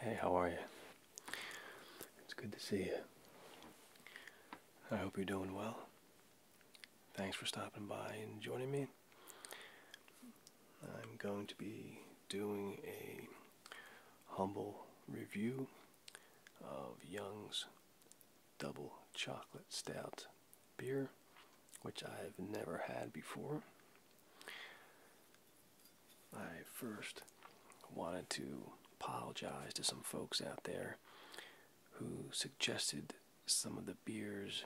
Hey, how are you? It's good to see you. I hope you're doing well. Thanks for stopping by and joining me. I'm going to be doing a humble review of Young's Double Chocolate Stout beer, which I've never had before. I first wanted to apologize to some folks out there who suggested some of the beers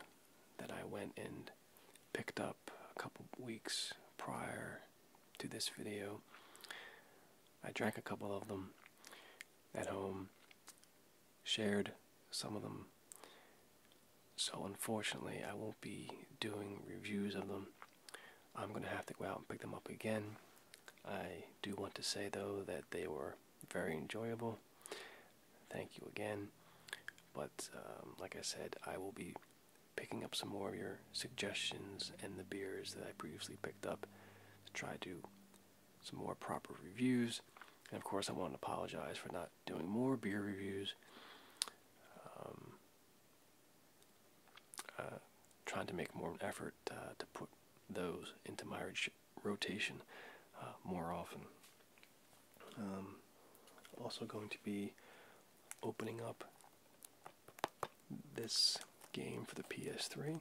that I went and picked up a couple weeks prior to this video. I drank a couple of them at home, shared some of them, so unfortunately, I won't be doing reviews of them. I'm going to have to go out and pick them up again. I do want to say though that they were very enjoyable. Thank you again. But um, like I said, I will be picking up some more of your suggestions and the beers that I previously picked up to try to do some more proper reviews. And of course, I want to apologize for not doing more beer reviews. Um, uh, trying to make more of an effort uh, to put those into my rotation uh, more often. Um, also going to be opening up this game for the PS3,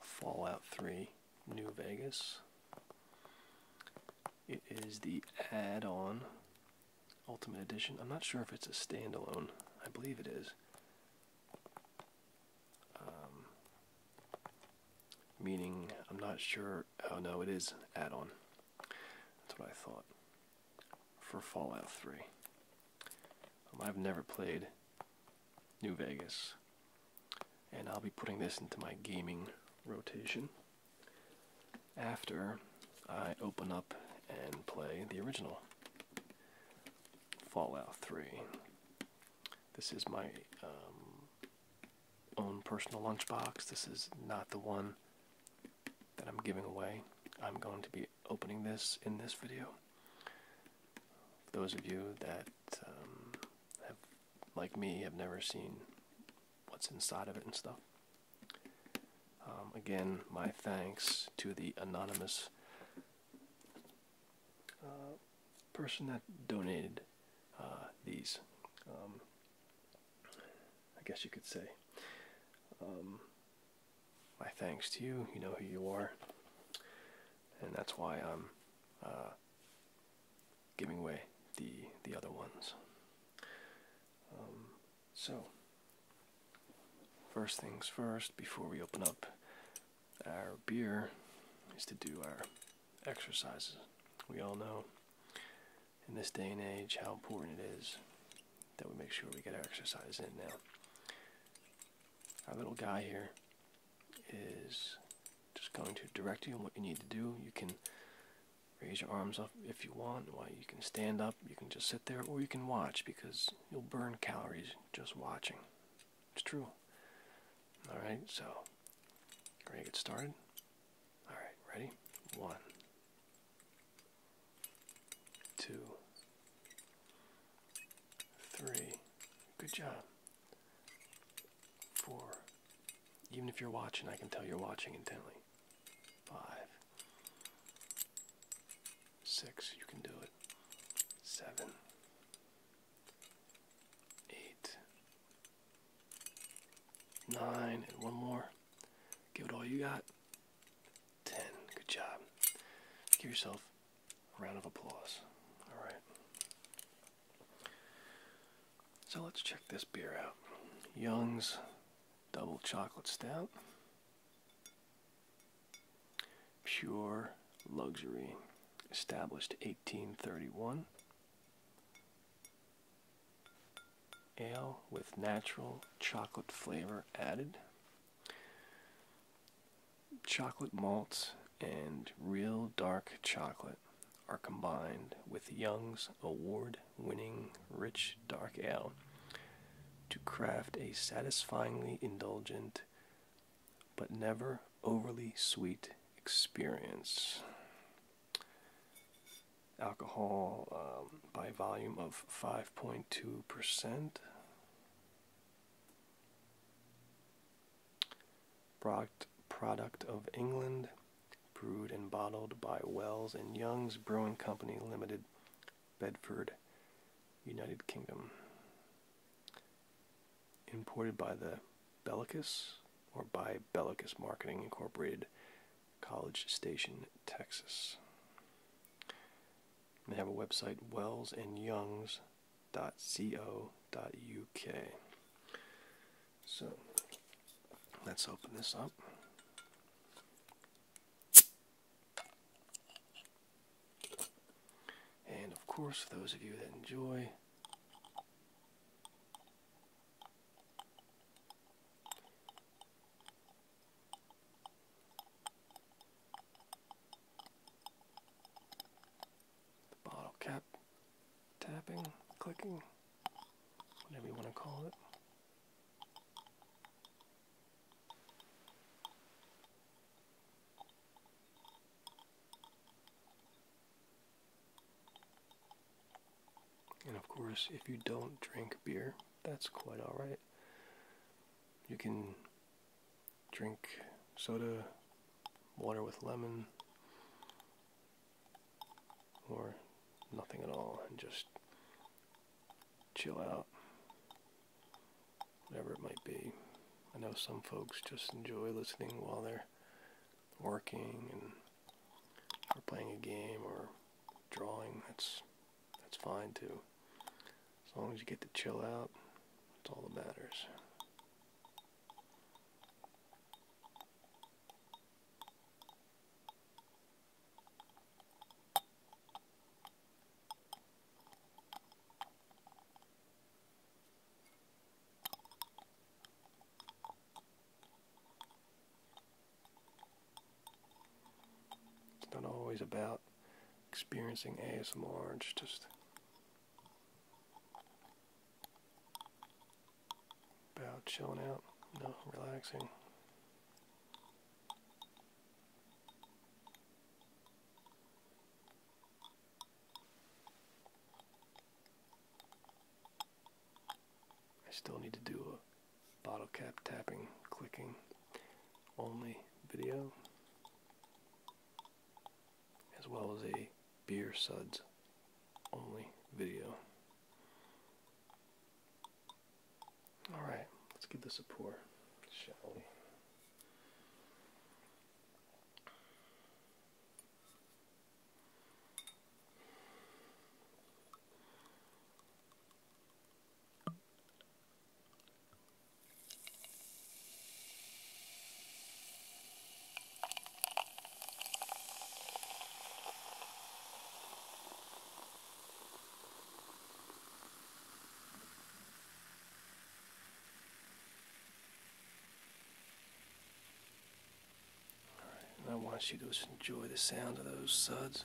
Fallout 3 New Vegas. It is the add-on Ultimate Edition. I'm not sure if it's a standalone. I believe it is. Um, meaning, I'm not sure. Oh no, it is add-on. That's what I thought. For Fallout 3. Um, I've never played New Vegas. And I'll be putting this into my gaming rotation after I open up and play the original Fallout 3. This is my um, own personal lunchbox. This is not the one that I'm giving away. I'm going to be opening this in this video. those of you that um, like me, have never seen what's inside of it and stuff. Um, again, my thanks to the anonymous uh, person that donated uh, these. Um, I guess you could say. Um, my thanks to you. You know who you are, and that's why I'm uh, giving away the the other ones. So, first things first, before we open up our beer, is to do our exercises. We all know in this day and age how important it is that we make sure we get our exercise in now. Our little guy here is just going to direct you on what you need to do. You can raise your arms up if you want. Why you can stand up, you can just sit there, or you can watch because you'll burn calories just watching. It's true. All right, so ready to get started. All right, ready? One, two, three. Good job. Four. Even if you're watching, I can tell you're watching intently five, six, you can do it, seven, eight, nine, and one more. Give it all you got. Ten. Good job. Give yourself a round of applause. All right. So let's check this beer out. Young's double chocolate stout. Pure luxury, established 1831. Ale with natural chocolate flavor added. Chocolate malts and real dark chocolate are combined with Young's Award winning rich dark ale to craft a satisfyingly indulgent but never overly sweet experience. Alcohol um, by volume of 5.2%. Product, product of England, brewed and bottled by Wells and Young's Brewing Company Limited, Bedford, United Kingdom. Imported by the Bellicus or by Bellicus Marketing Incorporated, College Station, Texas. They have a website, wellsandyoungs.co.uk. So let's open this up. And of course, for those of you that enjoy the bottle cap tapping, clicking, whatever you want to call it. And of course, if you don't drink beer, that's quite alright. You can drink soda, water with lemon, or nothing at all and just chill out, whatever it might be. I know some folks just enjoy listening while they're working and or playing a game or drawing. That's that's fine too. As long as you get to chill out, that's all that matters. It's not always about experiencing ASMR, it's just about chilling out, no relaxing. I still need to do a bottle cap tapping, clicking only video, as well as a beer suds only video. All right, let's give this a pour, shall we? I want you to enjoy the sound of those suds.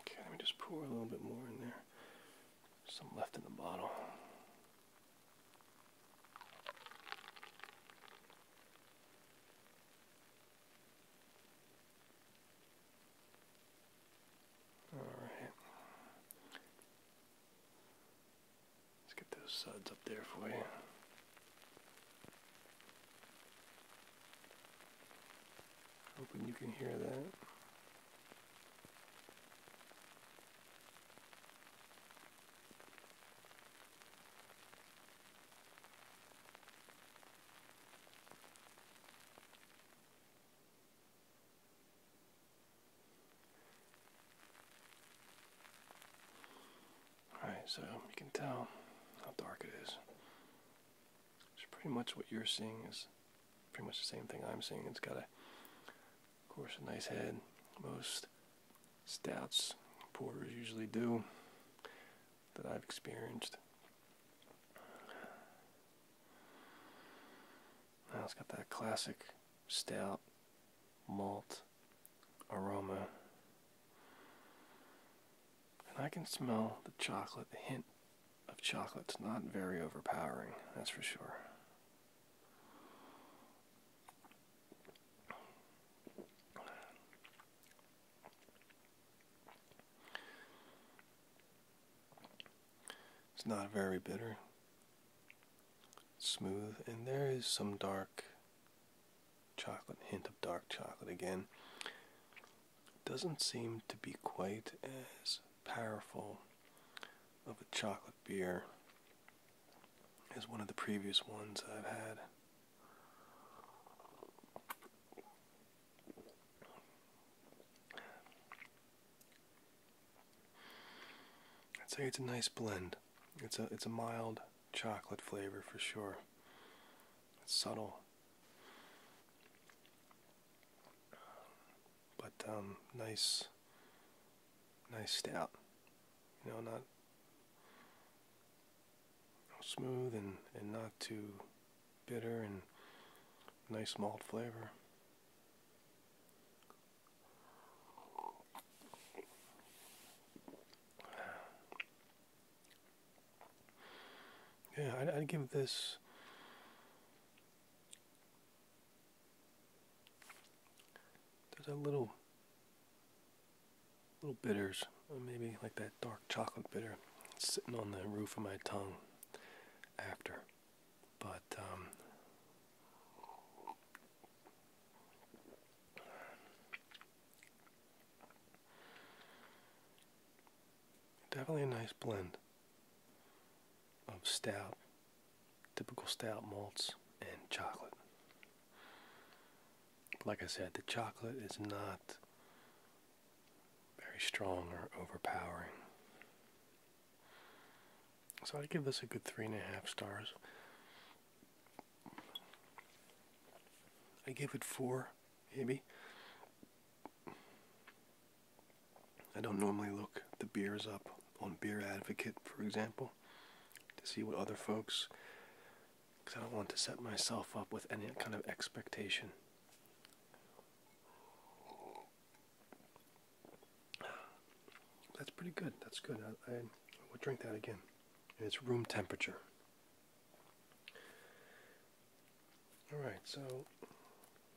Okay, let me just pour a little bit more in there. Some left in the bottle. Alright. Let's get those suds up there for you. Hoping you can hear that. Alright, so you can tell how dark it is. It's pretty much what you're seeing is pretty much the same thing I'm seeing. It's got a, of course, a nice head. Most stouts, porters usually do, that I've experienced. Now it's got that classic stout malt aroma. And I can smell the chocolate, the hint of chocolate's not very overpowering, that's for sure. It's not very bitter. smooth, and there is some dark chocolate, hint of dark chocolate again. It doesn't seem to be quite as powerful of a chocolate beer as one of the previous ones I've had. I'd say it's a nice blend. It's a it's a mild chocolate flavor for sure. It's subtle. But um, nice nice stout. You know, not smooth and, and not too bitter and nice malt flavor. Yeah, I'd, I'd give this there's a little little bitters, uh, maybe like that dark chocolate bitter sitting on the roof of my tongue after. But um, definitely a nice blend of stout, typical stout malts, and chocolate. Like I said, the chocolate is not very strong or overpowering. So I'd give this a good three and a half stars. I give it four, maybe. I don't normally look the beers up on Beer Advocate, for example, to see what other folks, because I don't want to set myself up with any kind of expectation. That's pretty good. That's good. I, I, will drink that again. And it's room temperature. Alright, so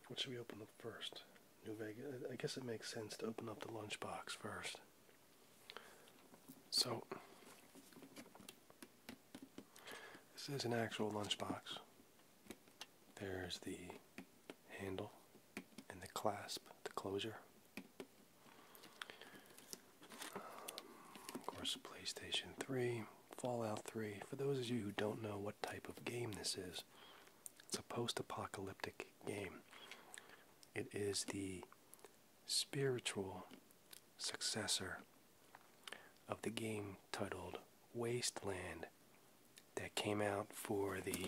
what should we open up first? New Vegas. I guess it makes sense to open up the lunchbox first. So, this is an actual lunchbox. There's the handle and the clasp, the closure. of course, PlayStation 3, Fallout 3. For those of you who don't know what type of game this is, it's a post apocalyptic game. It is the spiritual successor of the game titled Wasteland that came out for the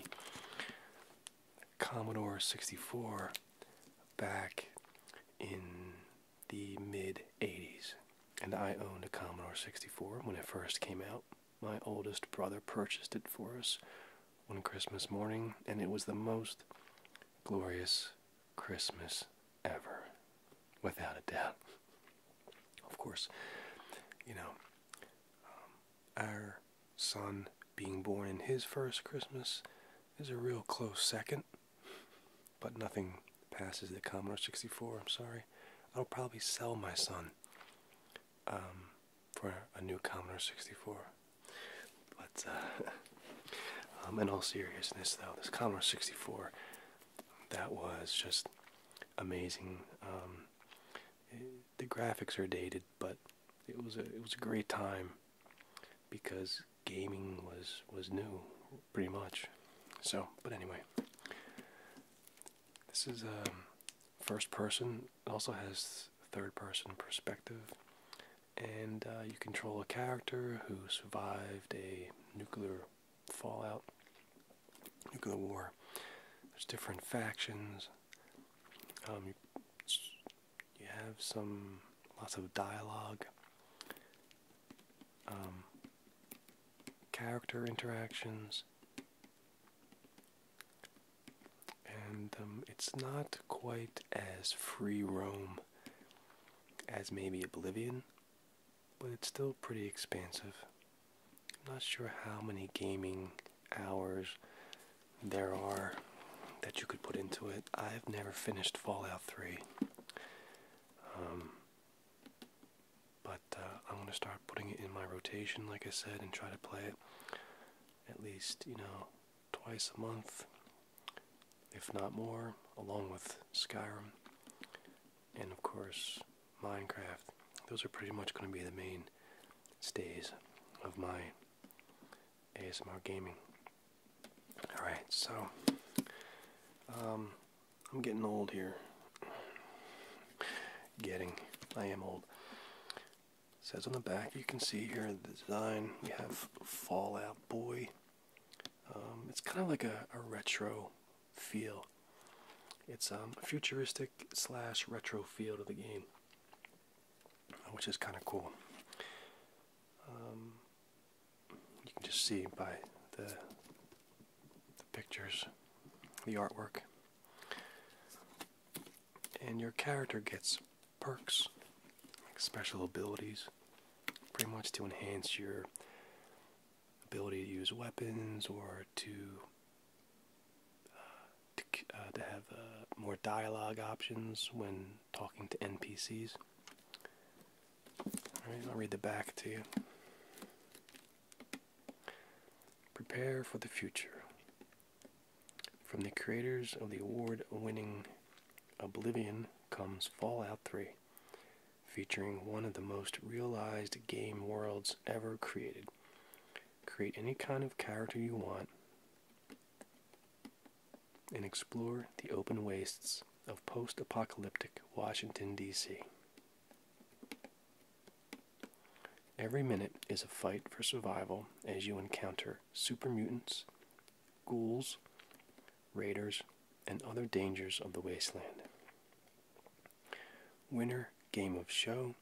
Commodore 64 back in the mid 80s. And I owned a Commodore 64 when it first came out. My oldest brother purchased it for us one Christmas morning, and it was the most glorious Christmas ever, without a doubt. Of course, you know, um, our son being born in his first Christmas is a real close second, but nothing passes the Commodore 64. I'm sorry. I'll probably sell my son um, for a new Commodore 64. But, uh, um, in all seriousness, though, this Commodore 64, that was just amazing. Um, the graphics are dated, but it was a it was a great time because gaming was was new, pretty much. So, but anyway, this is um, first person. It also has third person perspective, and uh, you control a character who survived a nuclear fallout, nuclear war. There's different factions. Um, you, have some lots of dialogue, um, character interactions, and um, it's not quite as free roam as maybe Oblivion but it's still pretty expensive. I'm not sure how many gaming hours there are that you could put into it. I've never finished Fallout 3. Um, but uh, I'm going to start putting it in my rotation, like I said, and try to play it at least, you know, twice a month, if not more, along with Skyrim and of course Minecraft. Those are pretty much going to be the main stays of my ASMR gaming. Alright, so um, I'm getting old here. Getting, I am old. says on the back, you can see here the design. We have Fallout Boy. Um, it's kind of like a retro feel. It's um, a futuristic slash retro feel to the game, which is kind of cool. Um, you can just see by the, the pictures, the artwork. And your character gets perks, like special abilities, pretty much to enhance your ability to use weapons or to uh, uh, to, have uh, more dialogue options when talking to NPCs. Alright, I'll read the back to you. Prepare for the future. From the creators of the award winning Oblivion comes Fallout 3, featuring one of the most realized game worlds ever created. Create any kind of character you want and explore the open wastes of post apocalyptic Washington, D.C. Every minute is a fight for survival as you encounter super mutants, ghouls, raiders, and other dangers of the wasteland winner game of show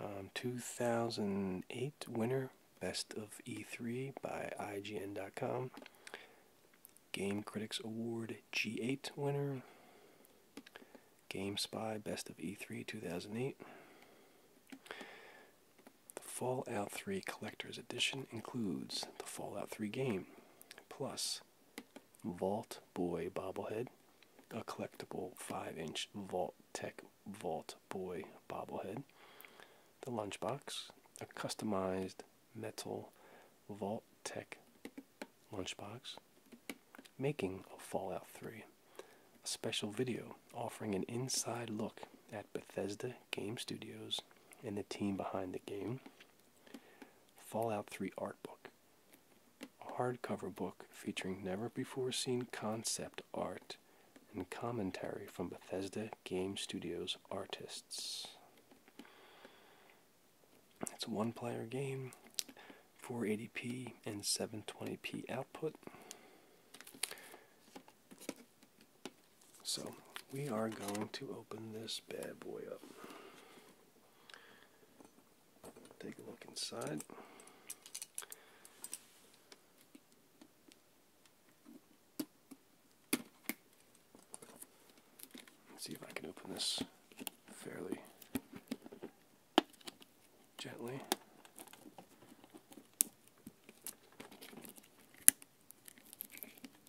um, 2008 winner best of e3 by ign.com game critics award g8 winner GameSpy Best of E3 2008. The Fallout 3 Collector's Edition includes the Fallout 3 game, plus Vault Boy bobblehead, a collectible 5 inch Vault Tech Vault Boy bobblehead, the lunchbox, a customized metal Vault Tech lunchbox, making of Fallout 3, a special video offering an inside look at Bethesda Game Studios and the team behind the game. Fallout 3 art book, a hardcover book featuring never before seen concept art and commentary from Bethesda Game Studios artists. It's a one player game, 480p and 720p output. So, we are going to open this bad boy up. Take a look inside. see if I can open this fairly gently.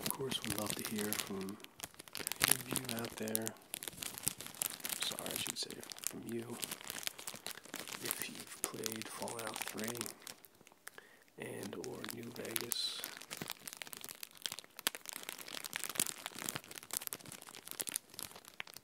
Of course, we'd love to hear from any of you out there. Sorry, I should say from you. If you've played Fallout 3 and or New Vegas.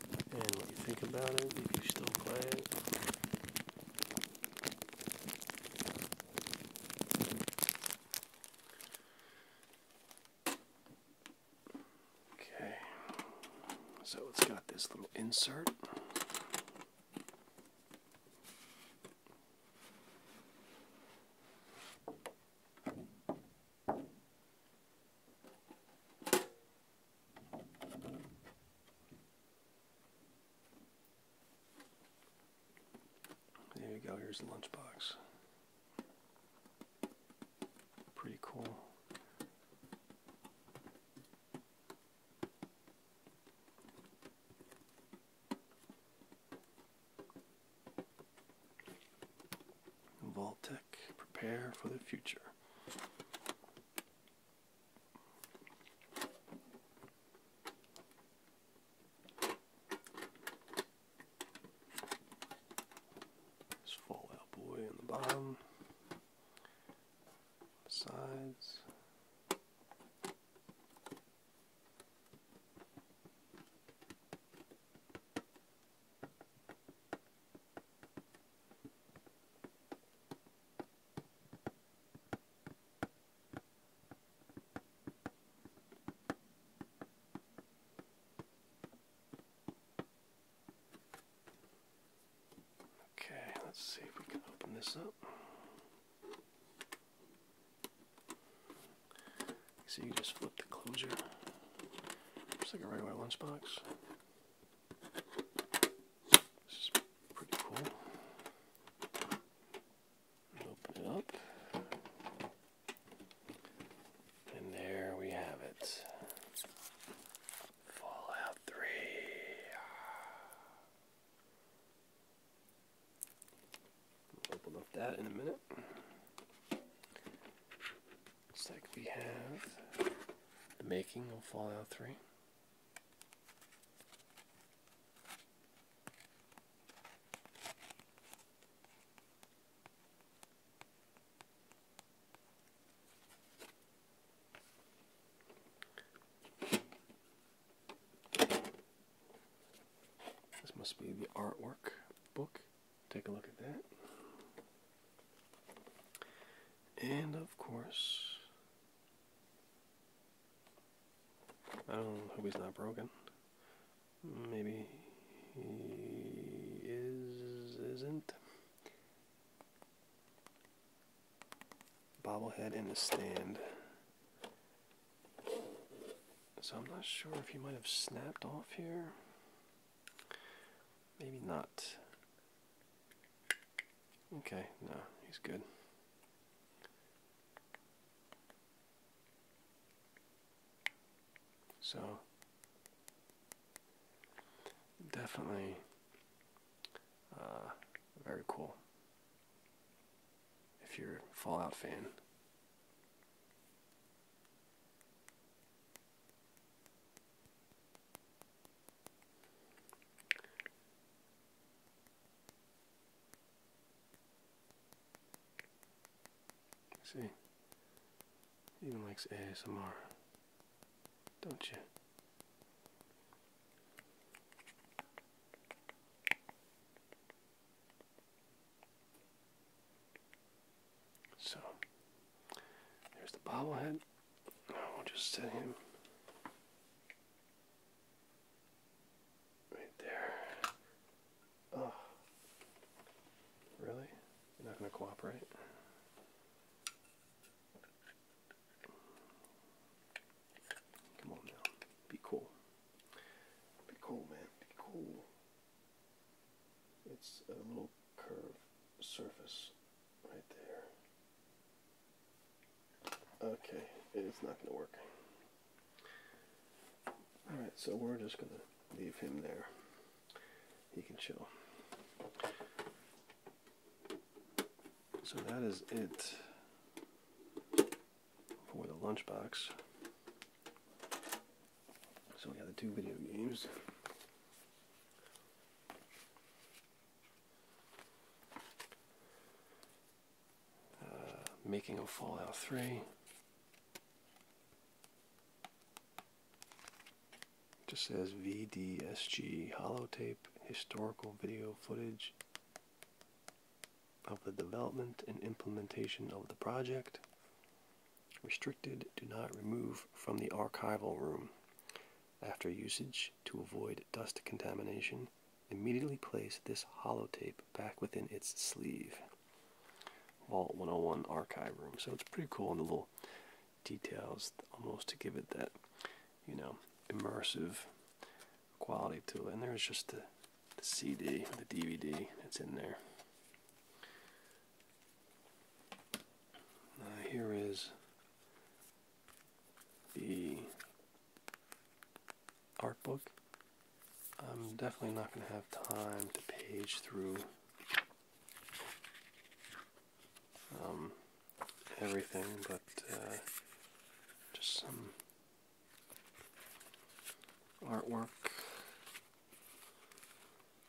and what you think about it, if you still play it. Okay, so it's got this little insert. There you go, here's the lunchbox. Pretty cool. Voltec, prepare for the future. This Fallout Boy in the bottom, the sides. Okay, let's see if we can open this up. So you just flip the closure. Just like a regular lunchbox. This is pretty cool. Open it up. And there we have it. Fallout 3. Ah. open up that in a minute. Looks like we have the making of Fallout 3. This must be the artwork book. Take a look at that. And of course, I don't know. hope he's not broken. Maybe he is isn't. Bobblehead in the stand. So I'm not sure if he might have snapped off here. Maybe not. Okay, no, he's good. So, definitely uh, very cool if you're a Fallout fan. See, even likes ASMR, don't you? So, there's the bobblehead. I'll just set him right there. Oh, really? You're not going to cooperate? Come on now. Be cool. Be cool, man. Be cool. It's a little curved surface. Right there. Okay, it's not going to work. Alright, so we're just going to leave him there. He can chill. So that is it for the lunchbox. So we have the two video games. Uh, making a Fallout 3. Just says VDSG holotape historical video footage of the development and implementation of the project. Restricted, do not remove from the archival room. After usage, to avoid dust contamination, immediately place this hollow tape back within its sleeve. Vault 101 archive room. So it's pretty cool in the little details almost to give it that, you know, immersive quality to it. And there's just the, CD, the DVD that's in there. Uh, here is the art book. I'm definitely not going to have time to page through um, everything, but uh, just some artwork,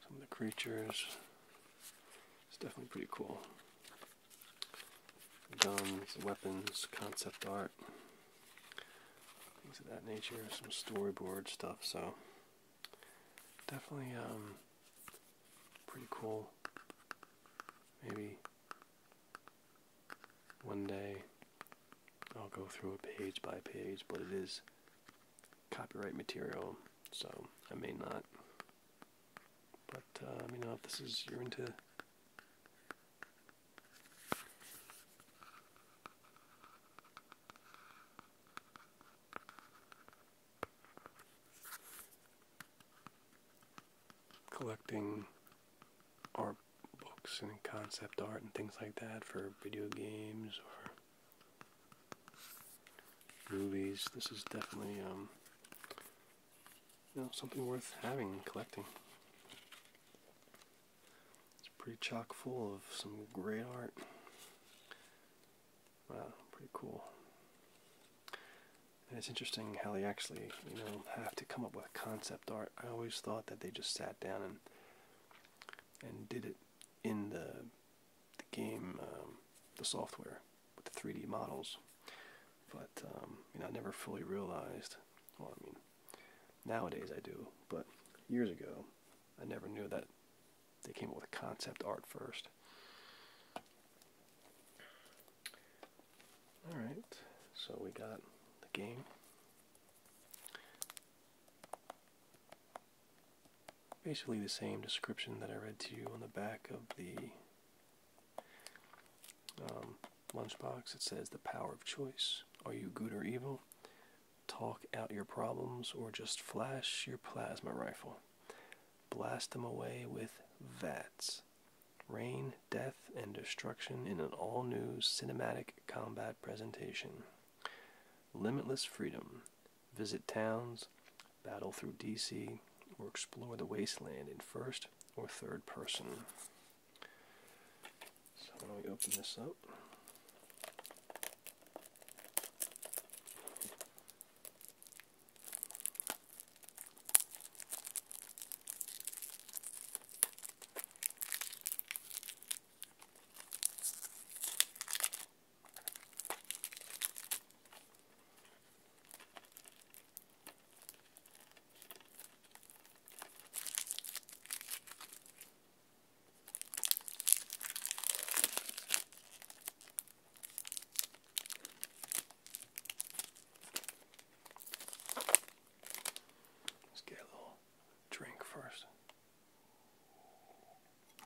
some of the creatures. It's definitely pretty cool guns, weapons, concept art, things of that nature, some storyboard stuff. So definitely um, pretty cool. Maybe one day I'll go through a page by page, but it is copyright material, so I may not but uh, let me know if this is you're into collecting art books and concept art and things like that for video games or movies. This is definitely um, you know, something worth having and collecting. It's pretty chock full of some great art. Wow, pretty cool. And it's interesting how they actually, you know, have to come up with concept art. I always thought that they just sat down and and did it in the the game, um, the software with the 3D models. But um, you know, I never fully realized. Well, I mean, nowadays I do, but years ago, I never knew that they came up with concept art first. All right, so we got the game basically the same description that I read to you on the back of the um, lunchbox. It says, The power of choice. Are you good or evil? Talk out your problems or just flash your plasma rifle. Blast them away with VATS. Rain, death, and destruction in an all new cinematic combat presentation. Limitless freedom visit towns, battle through DC, or explore the wasteland in first or third person. So let me open this up? Let's get a little drink first.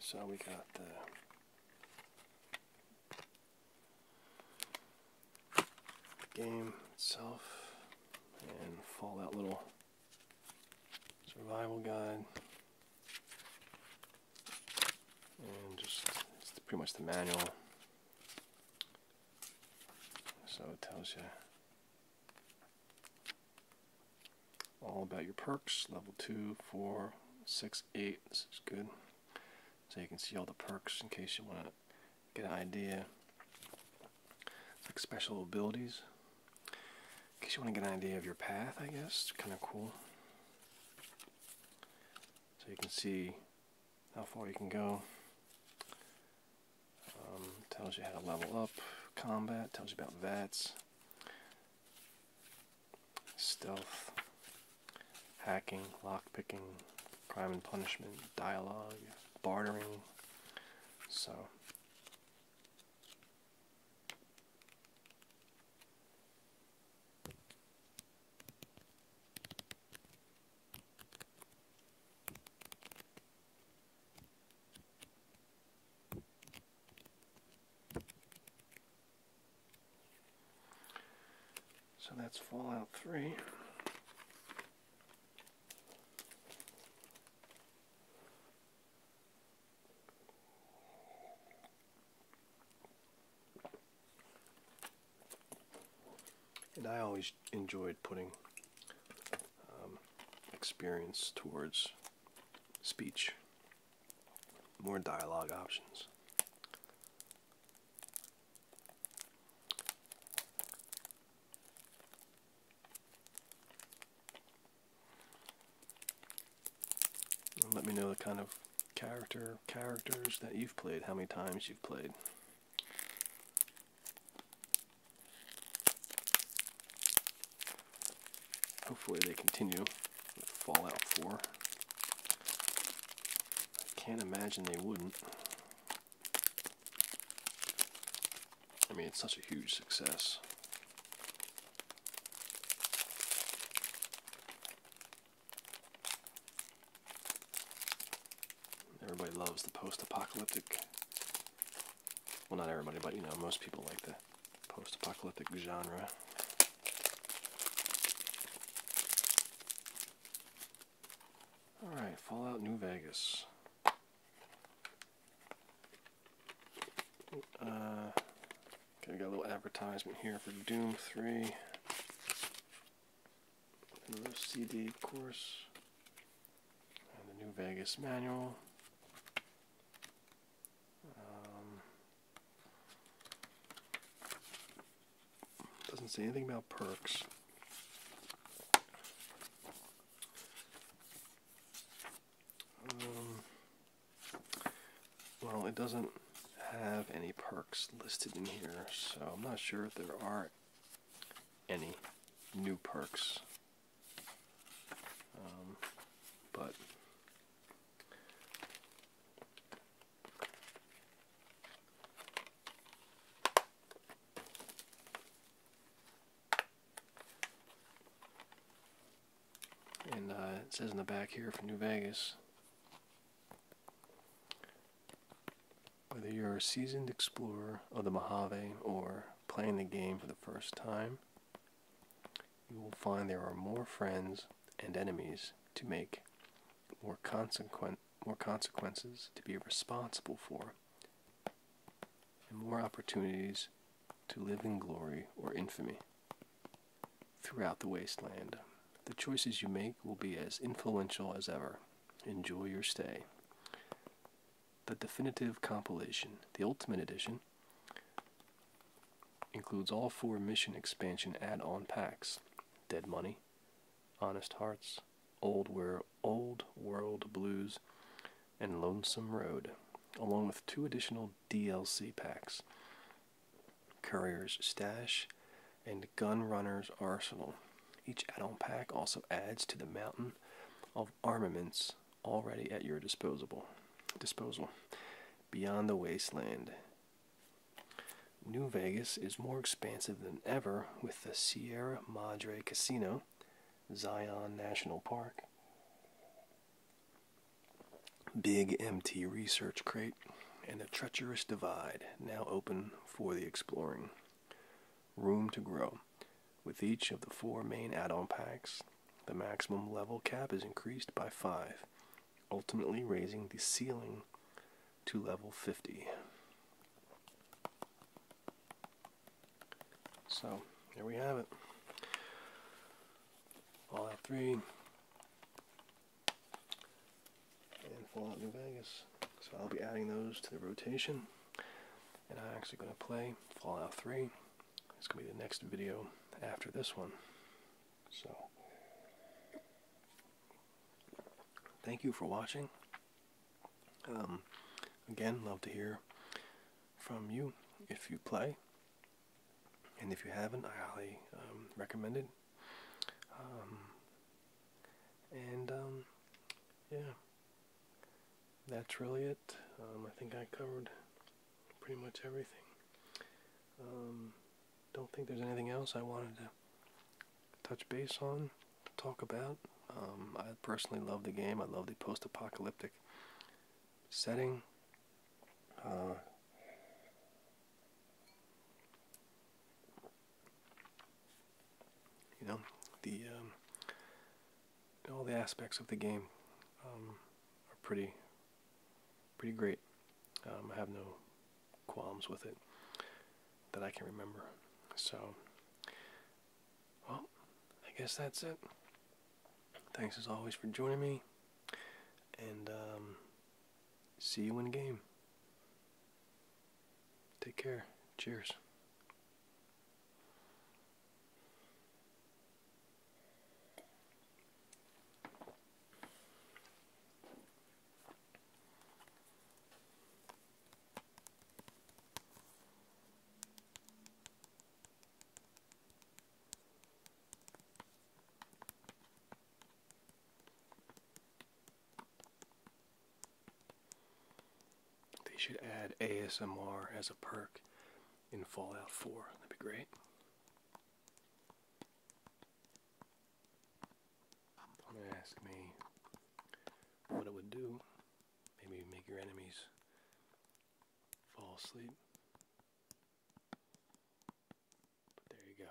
So we got the game itself and Fallout Little Survival Guide. And just, pretty much the manual. So it tells you all about your perks level 2 4 6 8 this is good so you can see all the perks in case you want to get an idea like special abilities in case you want to get an idea of your path I guess it's kind of cool so you can see how far you can go um, tells you how to level up combat tells you about VATS Stealth, hacking, lockpicking, crime and punishment, dialogue, bartering. So. So that's Fallout 3. And I always enjoyed putting um, experience towards speech more dialogue options. let me know the kind of character characters that you've played, how many times you've played. Hopefully they continue Fallout 4. I can't imagine they wouldn't. I mean, it's such a huge success. Everybody loves the post apocalyptic. Well, not everybody, but you know, most people like that post apocalyptic genre. Alright, Fallout New Vegas. Uh, okay, we got a little advertisement here for Doom 3. Another CD, of course. And the New Vegas manual. Um, doesn't say anything about perks. Um, well, it doesn't have any perks listed in here, so I'm not sure if there are any new perks um, but and uh, it says in the back here for New Vegas whether you're a seasoned explorer of the Mojave or playing the game for the first time, you will find there are more friends and enemies to make, more consequent more consequences to be responsible for, and more opportunities to live in glory or infamy. Throughout the wasteland, the choices you make will be as influential as ever. Enjoy your stay. The definitive compilation, the ultimate edition, includes all four mission expansion add-on packs dead money honest hearts old world old world blues and lonesome road along with two additional dlc packs courier's stash and gun runner's arsenal each add-on pack also adds to the mountain of armaments already at your disposal. Disposal. Beyond the wasteland. New Vegas is more expansive than ever with the Sierra Madre Casino, Zion National Park, Big MT Research Crate, and the Treacherous Divide, now open for the exploring. Room to grow. With each of the four main add on packs, the maximum level cap is increased by 5, ultimately raising the ceiling to level 50. So, there we have it. Fallout 3 and Fallout New Vegas. So I'll be adding those to the rotation. And I'm actually going to play Fallout 3 it's going to be the next video after this one. So, thank you for watching. Um, again, love to hear from you if you play. And if you haven't, I highly um, recommend it. Um, and um, yeah, that's really it. I think I covered pretty much everything. Um, don't think there's anything else I wanted to touch base on, talk about. Um, I personally love the game. I love the post-apocalyptic setting. Uh, you know the um, all the aspects of the game are pretty pretty great. Um, I have no qualms with it that I can remember. So, well, I guess that's it. Thanks as always for joining me, and um, see you in game. Take care. Cheers. They should add ASMR as a perk in Fallout 4. That'd be great ask me what it would do. Maybe make your enemies fall asleep. But there you go.